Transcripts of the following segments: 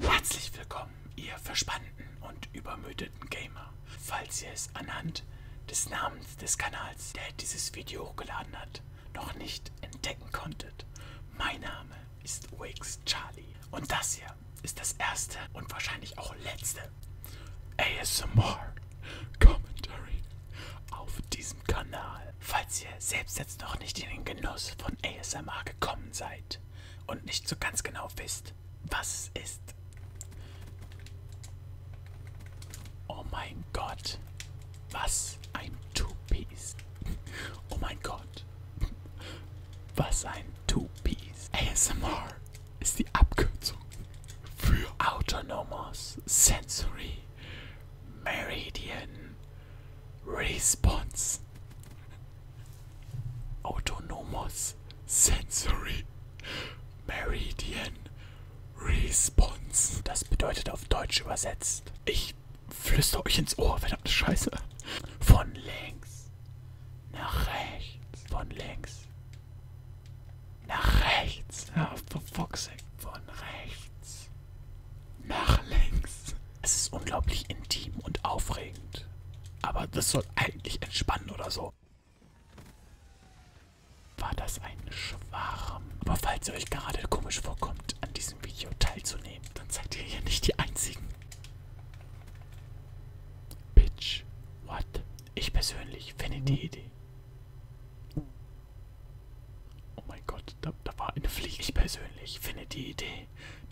Herzlich willkommen, ihr verspannten und übermüdeten Gamer. Falls ihr es anhand des Namens des Kanals, der dieses Video hochgeladen hat, noch nicht entdecken konntet, mein Name ist Wakes Charlie. Und das hier ist das erste und wahrscheinlich auch letzte ASMR Commentary auf diesem Kanal. Falls ihr selbst jetzt noch nicht in den Genuss von ASMR gekommen seid, und nicht so ganz genau wisst, was es ist. Oh mein Gott, was ein Two-Piece. Oh mein Gott, was ein Two-Piece. ASMR ist die Abkürzung für Autonomous Sensory Meridian Response. Autonomous Sensory Meridian Response. Das bedeutet auf Deutsch übersetzt. Ich flüster euch ins Ohr, verdammte Scheiße. Von links nach rechts. Von links nach rechts. Ja, for fuck's sake. Von rechts nach links. Es ist unglaublich intim und aufregend. Aber das soll eigentlich entspannen oder so. War das ein Schwarm? Aber falls ihr euch gerade komisch vorkommt, an diesem Video teilzunehmen, dann seid ihr hier nicht die Einzigen. Bitch, what? Ich persönlich finde die Idee. Oh mein Gott, da, da war eine Fliege. Ich persönlich finde die Idee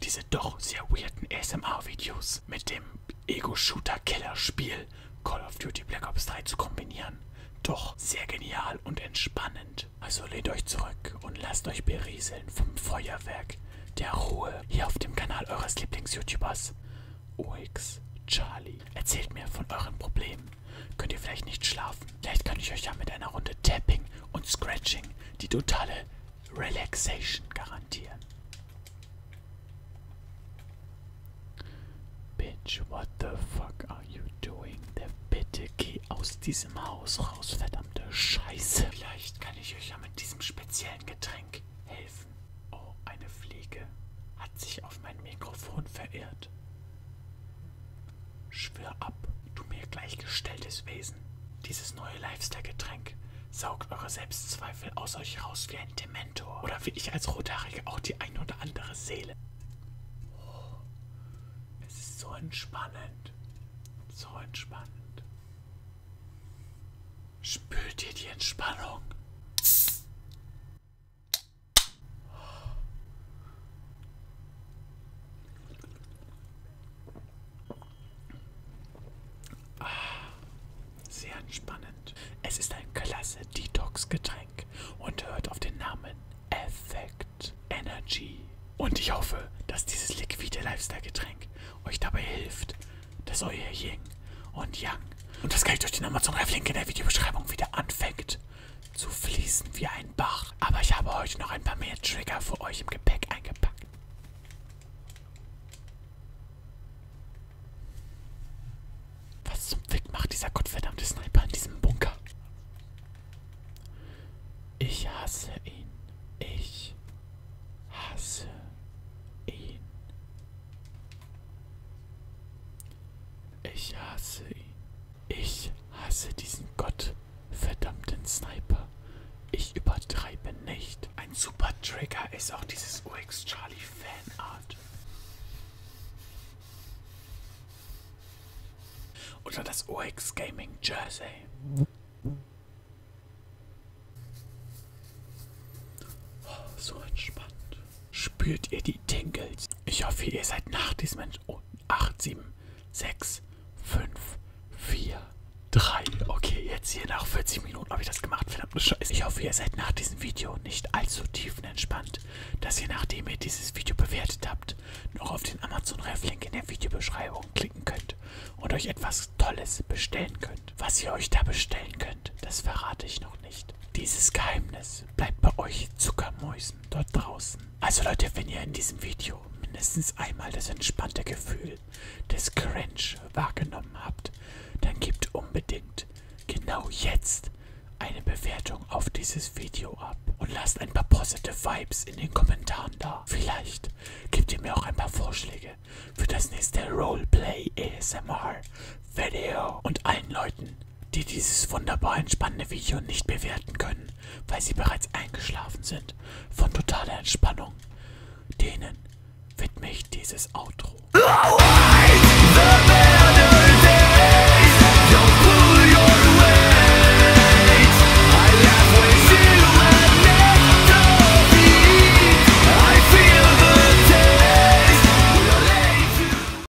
diese doch sehr weirden ASMR-Videos mit dem Ego-Shooter-Killer-Spiel Call of Duty Black Ops 3 zu kombinieren. Doch sehr genial und entspannend. Also lehnt euch zurück und lasst euch berieseln vom Feuerwerk der Ruhe hier auf dem Kanal eures Lieblings-YouTubers OX Charlie. Erzählt mir von euren Problemen. Könnt ihr vielleicht nicht schlafen? Vielleicht kann ich euch ja mit einer Runde Tapping und Scratching die totale Relaxation garantieren. Bitch, what the fuck are you doing? Der bitte geh aus diesem Haus raus, verdammte Scheiße. Vielleicht kann ich euch ja mit diesem speziellen Getränk helfen. Oh, eine Fliege hat sich auf mein Mikrofon verirrt. Schwör ab, du mir gleichgestelltes Wesen. Dieses neue Lifestyle-Getränk saugt eure Selbstzweifel aus euch raus wie ein Dementor. Oder wie ich als Rothaarige auch die ein oder andere Seele. Oh, es ist so entspannend. So entspannend. Spürt ihr die Entspannung? Ah, sehr entspannend. Es ist ein klasse Detox-Getränk und hört auf den Namen Effect Energy. Und ich hoffe, dass dieses liquide Lifestyle-Getränk euch dabei hilft, dass euer Yin und Yang, und das kann ich durch den Amazon-Live-Link in der Videobeschreibung wieder anfängt, zu fließen wie ein Bach. Aber ich habe heute noch ein paar mehr Trigger für euch im Gepäck eingepackt. Was zum Fick macht dieser gottverdammte Sniper in diesem Bunker? Ich hasse ihn. Ich hasse ihn. Ich hasse ihn. Ich hasse diesen gottverdammten Sniper. Ich übertreibe nicht. Ein super Trigger ist auch dieses UX Charlie Fanart. Oder das OX Gaming Jersey. Oh, so entspannt. Spürt ihr die Tingles? Ich hoffe, ihr seid nach diesem Ent oh, 8, 7, 6, 5, 4, 3. Okay, jetzt hier nach 40 Minuten habe ich das gemacht. Verdammte Scheiße. Ich hoffe, ihr seid nach diesem Video nicht allzu tiefenentspannt, dass ihr, nachdem ihr dieses Video bewertet habt, noch auf den Amazon-Ref-Link in der Videobeschreibung klicken könnt und euch etwas Tolles bestellen könnt. Was ihr euch da bestellen könnt, das verrate ich noch nicht. Dieses Geheimnis bleibt bei euch Zuckermäusen dort draußen. Also Leute, wenn ihr in diesem Video mindestens einmal das entspannte Gefühl des Cringe wahrgenommen habt, dann gebt unbedingt genau jetzt eine Bewertung auf dieses Video ab und lasst ein paar positive Vibes in den Kommentaren da. Vielleicht gebt ihr mir auch ein paar Vorschläge für das nächste Roleplay ASMR Video. Und allen Leuten, die dieses wunderbar entspannende Video nicht bewerten können, weil sie bereits eingeschlafen sind von totaler Entspannung. Denen widme ich dieses Outro.